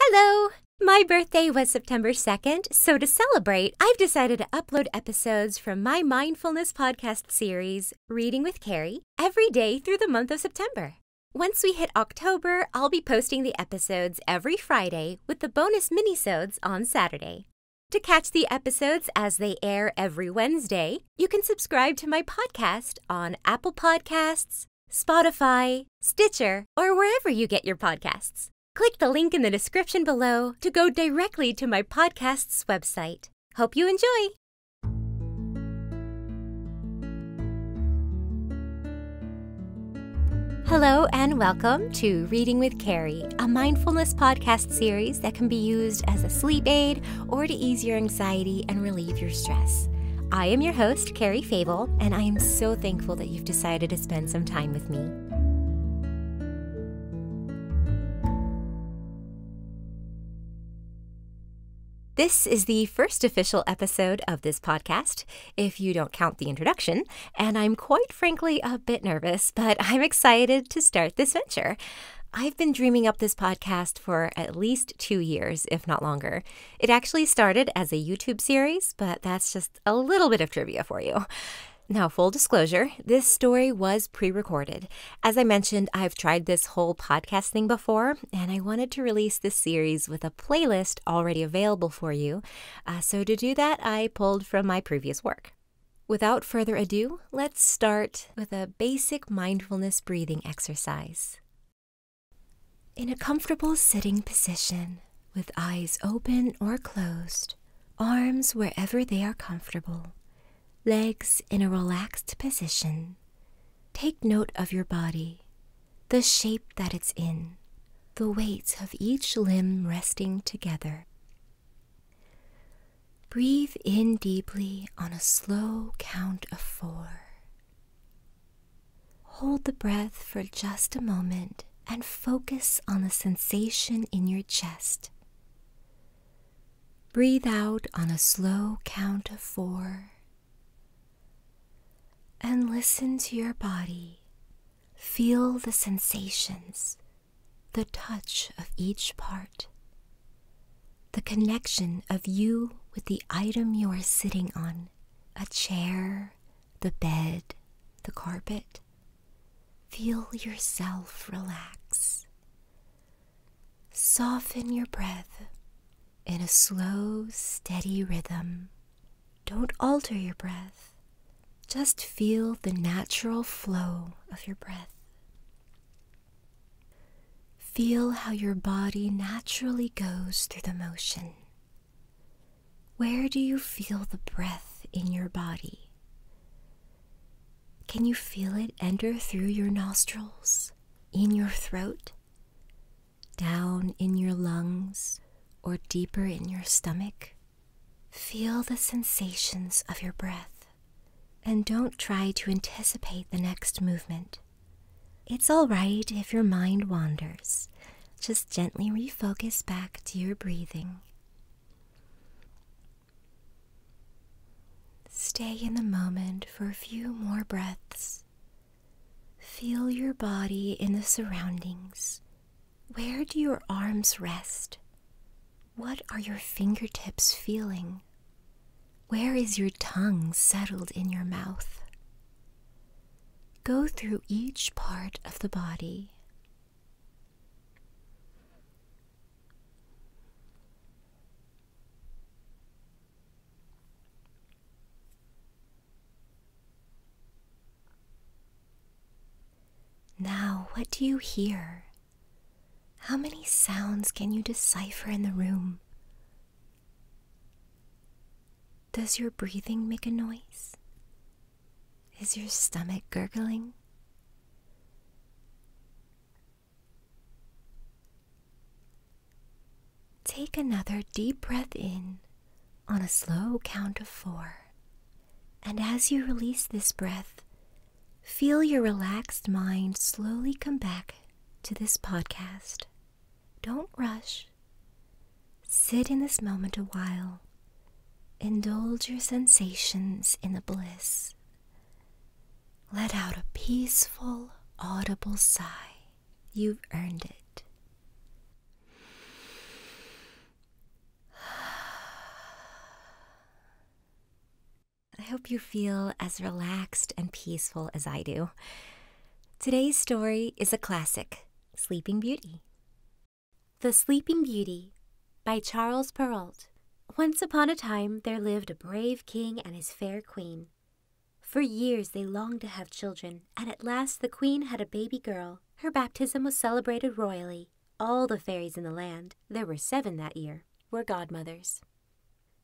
Hello! My birthday was September 2nd, so to celebrate, I've decided to upload episodes from my mindfulness podcast series, Reading with Carrie, every day through the month of September. Once we hit October, I'll be posting the episodes every Friday with the bonus minisodes on Saturday. To catch the episodes as they air every Wednesday, you can subscribe to my podcast on Apple Podcasts, Spotify, Stitcher, or wherever you get your podcasts. Click the link in the description below to go directly to my podcast's website. Hope you enjoy! Hello, and welcome to Reading with Carrie, a mindfulness podcast series that can be used as a sleep aid or to ease your anxiety and relieve your stress. I am your host, host, Carrie Fable, and I am so thankful that you've decided to spend some time with me. This is the first official episode of this podcast, if you don't count the introduction, and I'm quite frankly a bit nervous, but I'm excited to start this venture. I've been dreaming up this podcast for at least two years, if not longer. It actually started as a YouTube series, but that's just a little bit of trivia for you. Now, full disclosure, this story was pre recorded. As I mentioned, I've tried this whole podcast thing before, and I wanted to release this series with a playlist already available for you. Uh, so, to do that, I pulled from my previous work. Without further ado, let's start with a basic mindfulness breathing exercise. In a comfortable sitting position, with eyes open or closed, arms wherever they are comfortable, legs in a relaxed position, take note of your body, the shape that it's in, the weight of each limb resting together. Breathe in deeply on a slow count of four. Hold the breath for just a moment and focus on the sensation in your chest. Breathe out on a slow count of four and listen to your body. Feel the sensations, the touch of each part, the connection of you with the item you are sitting on a chair, the bed, the carpet. Feel yourself relax. Soften your breath in a slow, steady rhythm. Don't alter your breath. Just feel the natural flow of your breath. Feel how your body naturally goes through the motion. Where do you feel the breath in your body? Can you feel it enter through your nostrils, in your throat, down in your lungs, or deeper in your stomach? Feel the sensations of your breath and don't try to anticipate the next movement. It's all right if your mind wanders. Just gently refocus back to your breathing. Stay in the moment for a few more breaths. Feel your body in the surroundings. Where do your arms rest? What are your fingertips feeling? Where is your tongue settled in your mouth? Go through each part of the body. Now, what do you hear? How many sounds can you decipher in the room? Does your breathing make a noise? Is your stomach gurgling? Take another deep breath in on a slow count of four. And as you release this breath, feel your relaxed mind slowly come back to this podcast. Don't rush. Sit in this moment a while. Indulge your sensations in the bliss. Let out a peaceful, audible sigh. You've earned it. I hope you feel as relaxed and peaceful as I do. Today's story is a classic Sleeping Beauty. The Sleeping Beauty by Charles Perrault. Once upon a time, there lived a brave king and his fair queen. For years, they longed to have children, and at last the queen had a baby girl. Her baptism was celebrated royally. All the fairies in the land, there were seven that year, were godmothers.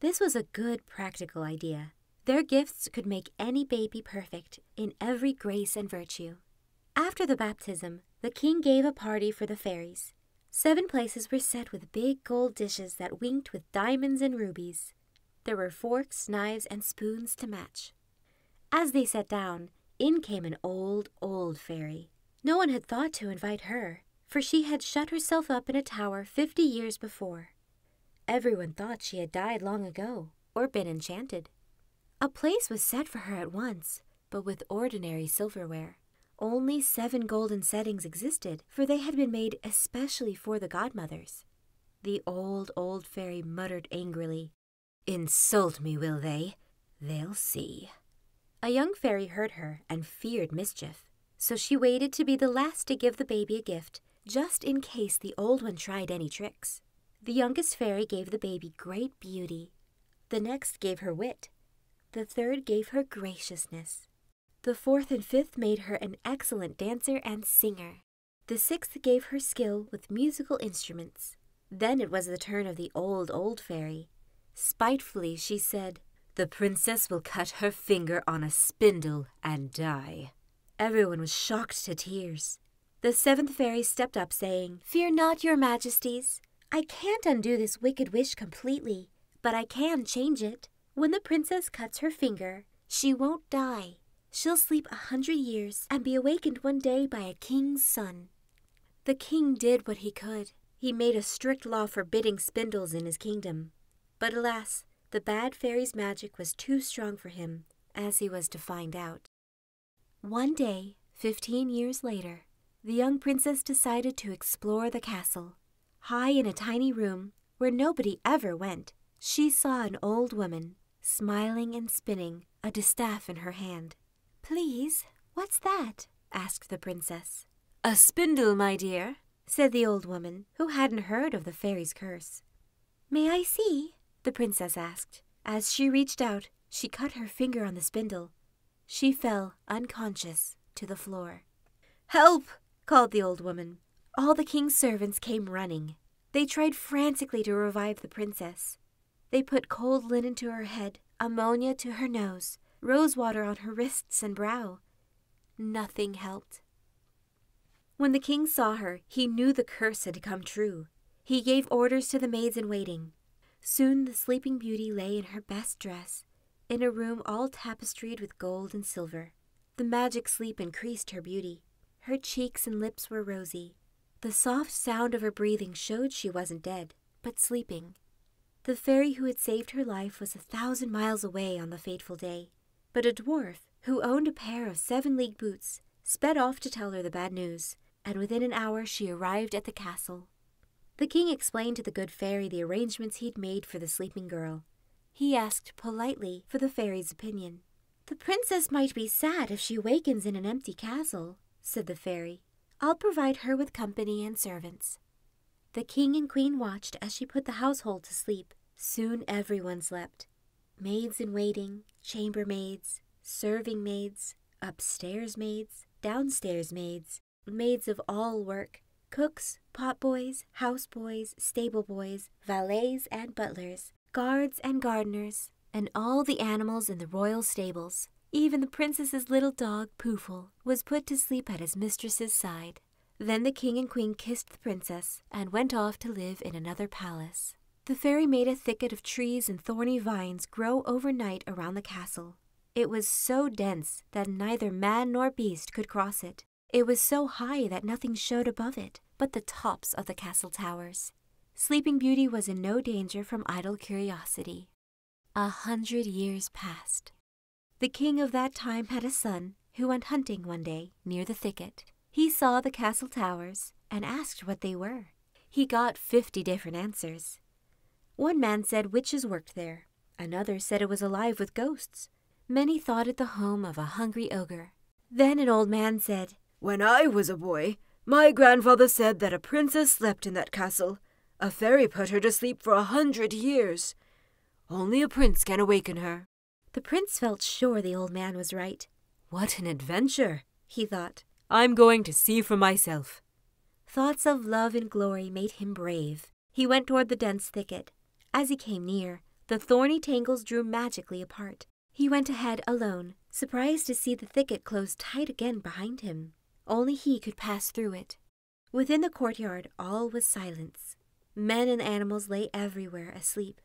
This was a good practical idea, their gifts could make any baby perfect in every grace and virtue. After the baptism, the king gave a party for the fairies. Seven places were set with big gold dishes that winked with diamonds and rubies. There were forks, knives, and spoons to match. As they sat down, in came an old, old fairy. No one had thought to invite her, for she had shut herself up in a tower fifty years before. Every one thought she had died long ago or been enchanted. A place was set for her at once, but with ordinary silverware. Only seven golden settings existed, for they had been made especially for the godmothers. The old, old fairy muttered angrily, Insult me, will they? They'll see. A young fairy heard her and feared mischief, so she waited to be the last to give the baby a gift just in case the old one tried any tricks. The youngest fairy gave the baby great beauty. The next gave her wit. The third gave her graciousness. The fourth and fifth made her an excellent dancer and singer. The sixth gave her skill with musical instruments. Then it was the turn of the old, old fairy. Spitefully she said, The princess will cut her finger on a spindle and die. Everyone was shocked to tears. The seventh fairy stepped up, saying, Fear not, your majesties. I can't undo this wicked wish completely, but I can change it. When the princess cuts her finger, she won't die. She'll sleep a hundred years and be awakened one day by a king's son. The king did what he could. He made a strict law forbidding spindles in his kingdom. But alas, the bad fairy's magic was too strong for him, as he was to find out. One day, fifteen years later, the young princess decided to explore the castle. High in a tiny room, where nobody ever went, she saw an old woman, smiling and spinning, a distaff in her hand. Please, what's that? asked the princess. A spindle, my dear, said the old woman, who hadn't heard of the fairy's curse. May I see? the princess asked. As she reached out, she cut her finger on the spindle. She fell, unconscious, to the floor. Help! called the old woman. All the king's servants came running. They tried frantically to revive the princess. They put cold linen to her head, ammonia to her nose, rose water on her wrists and brow. Nothing helped. When the king saw her, he knew the curse had come true. He gave orders to the maids in waiting. Soon the sleeping beauty lay in her best dress, in a room all tapestried with gold and silver. The magic sleep increased her beauty. Her cheeks and lips were rosy. The soft sound of her breathing showed she wasn't dead, but sleeping. The fairy who had saved her life was a thousand miles away on the fateful day. But a dwarf, who owned a pair of seven league boots, sped off to tell her the bad news, and within an hour she arrived at the castle. The king explained to the good fairy the arrangements he'd made for the sleeping girl. He asked politely for the fairy's opinion. The princess might be sad if she wakens in an empty castle, said the fairy. I'll provide her with company and servants. The king and queen watched as she put the household to sleep. Soon everyone slept, Maids in waiting, chambermaids, serving maids, upstairs maids, downstairs maids, maids of all work, cooks, pot boys, house boys, stable boys, valets and butlers, guards and gardeners, and all the animals in the royal stables. Even the princess's little dog, Poofle, was put to sleep at his mistress's side. Then the king and queen kissed the princess and went off to live in another palace. The fairy made a thicket of trees and thorny vines grow overnight around the castle. It was so dense that neither man nor beast could cross it. It was so high that nothing showed above it but the tops of the castle towers. Sleeping Beauty was in no danger from idle curiosity. A hundred years passed. The king of that time had a son who went hunting one day near the thicket. He saw the castle towers and asked what they were. He got fifty different answers. One man said witches worked there. Another said it was alive with ghosts. Many thought it the home of a hungry ogre. Then an old man said, When I was a boy, my grandfather said that a princess slept in that castle. A fairy put her to sleep for a hundred years. Only a prince can awaken her. The prince felt sure the old man was right. What an adventure, he thought. I'm going to see for myself. Thoughts of love and glory made him brave. He went toward the dense thicket. As he came near, the thorny tangles drew magically apart. He went ahead alone, surprised to see the thicket close tight again behind him. Only he could pass through it. Within the courtyard, all was silence. Men and animals lay everywhere asleep.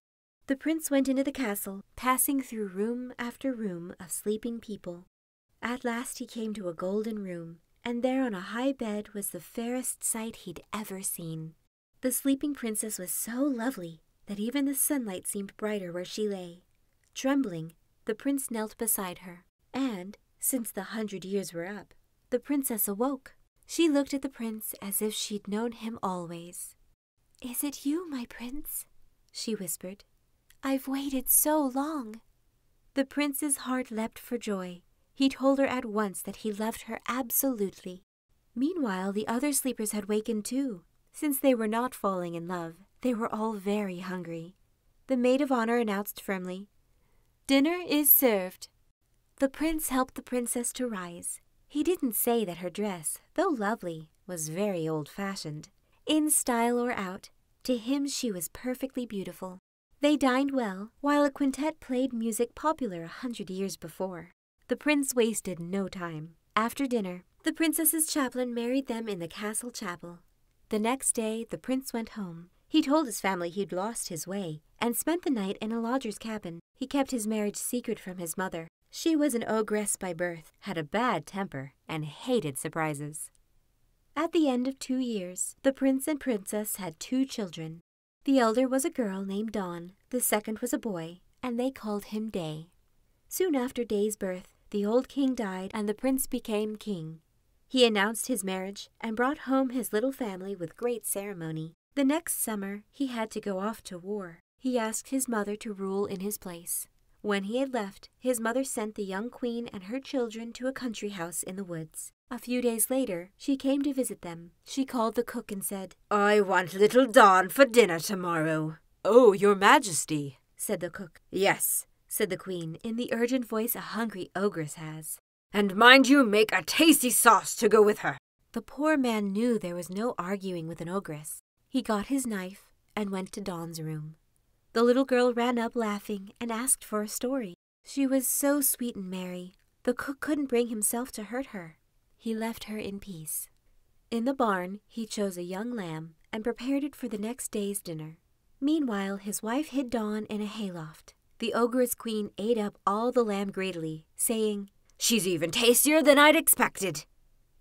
The prince went into the castle, passing through room after room of sleeping people. At last he came to a golden room, and there on a high bed was the fairest sight he'd ever seen. The sleeping princess was so lovely that even the sunlight seemed brighter where she lay. Trembling, the prince knelt beside her, and, since the hundred years were up, the princess awoke. She looked at the prince as if she'd known him always. Is it you, my prince? she whispered. I've waited so long. The prince's heart leapt for joy. He told her at once that he loved her absolutely. Meanwhile, the other sleepers had wakened too. Since they were not falling in love, they were all very hungry. The maid of honor announced firmly, Dinner is served. The prince helped the princess to rise. He didn't say that her dress, though lovely, was very old fashioned. In style or out, to him she was perfectly beautiful. They dined well, while a quintet played music popular a hundred years before. The prince wasted no time. After dinner, the princess's chaplain married them in the castle chapel. The next day, the prince went home. He told his family he'd lost his way and spent the night in a lodger's cabin. He kept his marriage secret from his mother. She was an ogress by birth, had a bad temper, and hated surprises. At the end of two years, the prince and princess had two children. The elder was a girl named Dawn, the second was a boy, and they called him Day. Soon after Day's birth, the old king died and the prince became king. He announced his marriage and brought home his little family with great ceremony. The next summer, he had to go off to war. He asked his mother to rule in his place. When he had left, his mother sent the young queen and her children to a country house in the woods. A few days later, she came to visit them. She called the cook and said, I want little Don for dinner tomorrow. Oh, your majesty, said the cook. Yes, said the queen, in the urgent voice a hungry ogress has. And mind you make a tasty sauce to go with her. The poor man knew there was no arguing with an ogress. He got his knife and went to Dawn's room. The little girl ran up laughing and asked for a story. She was so sweet and merry, the cook couldn't bring himself to hurt her. He left her in peace. In the barn, he chose a young lamb and prepared it for the next day's dinner. Meanwhile, his wife hid Dawn in a hayloft. The ogress queen ate up all the lamb greedily, saying, She's even tastier than I'd expected.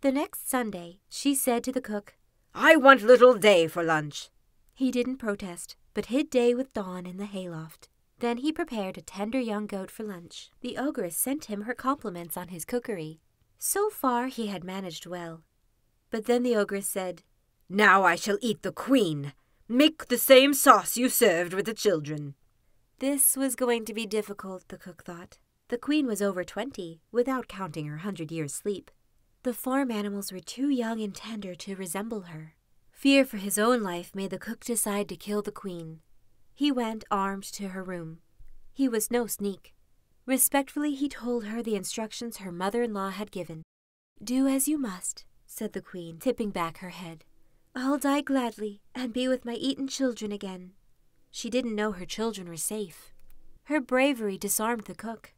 The next Sunday, she said to the cook, I want little Day for lunch. He didn't protest, but hid Day with Dawn in the hayloft. Then he prepared a tender young goat for lunch. The ogress sent him her compliments on his cookery. So far he had managed well. But then the ogress said, Now I shall eat the queen. Make the same sauce you served with the children. This was going to be difficult, the cook thought. The queen was over twenty, without counting her hundred years' sleep. The farm animals were too young and tender to resemble her. Fear for his own life made the cook decide to kill the queen. He went armed to her room. He was no sneak. Respectfully, he told her the instructions her mother in law had given. Do as you must, said the queen, tipping back her head. I'll die gladly and be with my Eton children again. She didn't know her children were safe. Her bravery disarmed the cook.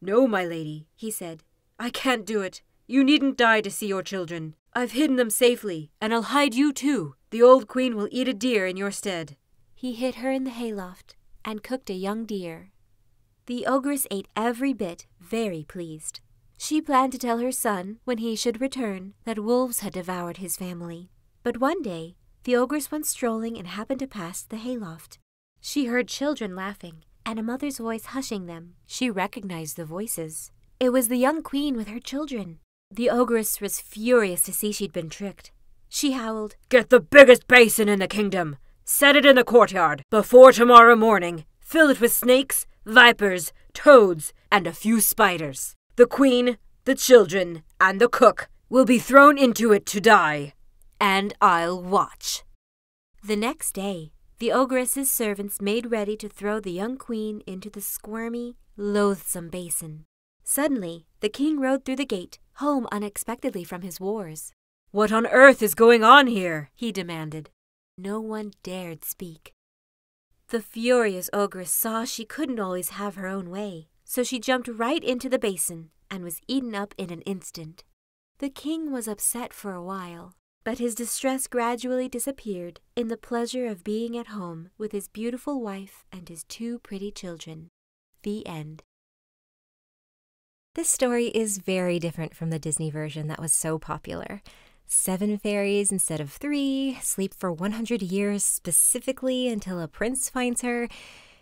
No, my lady, he said. I can't do it. You needn't die to see your children. I've hidden them safely, and I'll hide you too. The old queen will eat a deer in your stead. He hid her in the hayloft and cooked a young deer. The ogress ate every bit, very pleased. She planned to tell her son, when he should return, that wolves had devoured his family. But one day, the ogres went strolling and happened to pass the hayloft. She heard children laughing, and a mother's voice hushing them. She recognized the voices. It was the young queen with her children. The ogress was furious to see she'd been tricked. She howled, Get the biggest basin in the kingdom! Set it in the courtyard. Before tomorrow morning, Fill it with snakes, vipers, toads, and a few spiders. The queen, the children, and the cook will be thrown into it to die, and I'll watch. The next day, the ogress's servants made ready to throw the young queen into the squirmy, loathsome basin. Suddenly, the king rode through the gate, home unexpectedly from his wars. What on earth is going on here? he demanded. No one dared speak. The furious ogress saw she couldn't always have her own way, so she jumped right into the basin and was eaten up in an instant. The king was upset for a while, but his distress gradually disappeared in the pleasure of being at home with his beautiful wife and his two pretty children. The end. This story is very different from the Disney version that was so popular seven fairies instead of three, sleep for 100 years specifically until a prince finds her.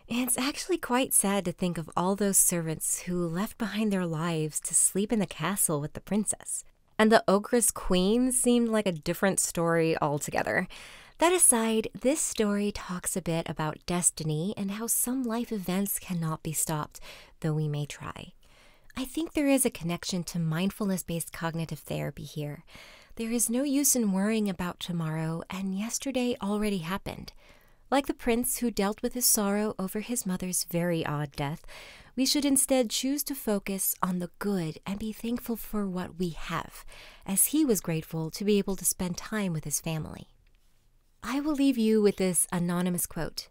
It's actually quite sad to think of all those servants who left behind their lives to sleep in the castle with the princess. And the Ogre's Queen seemed like a different story altogether. That aside, this story talks a bit about destiny and how some life events cannot be stopped, though we may try. I think there is a connection to mindfulness based cognitive therapy here. There is no use in worrying about tomorrow, and yesterday already happened. Like the prince who dealt with his sorrow over his mother's very odd death, we should instead choose to focus on the good and be thankful for what we have, as he was grateful to be able to spend time with his family. I will leave you with this anonymous quote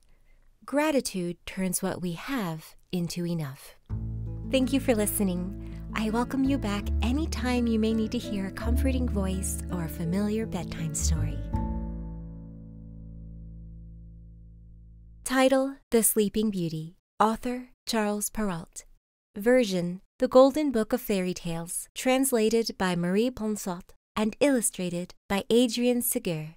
Gratitude turns what we have into enough. Thank you for listening. I welcome you back anytime you may need to hear a comforting voice or a familiar bedtime story. Title The Sleeping Beauty, author Charles Perrault. Version The Golden Book of Fairy Tales, translated by Marie Ponsot and illustrated by Adrian Segur.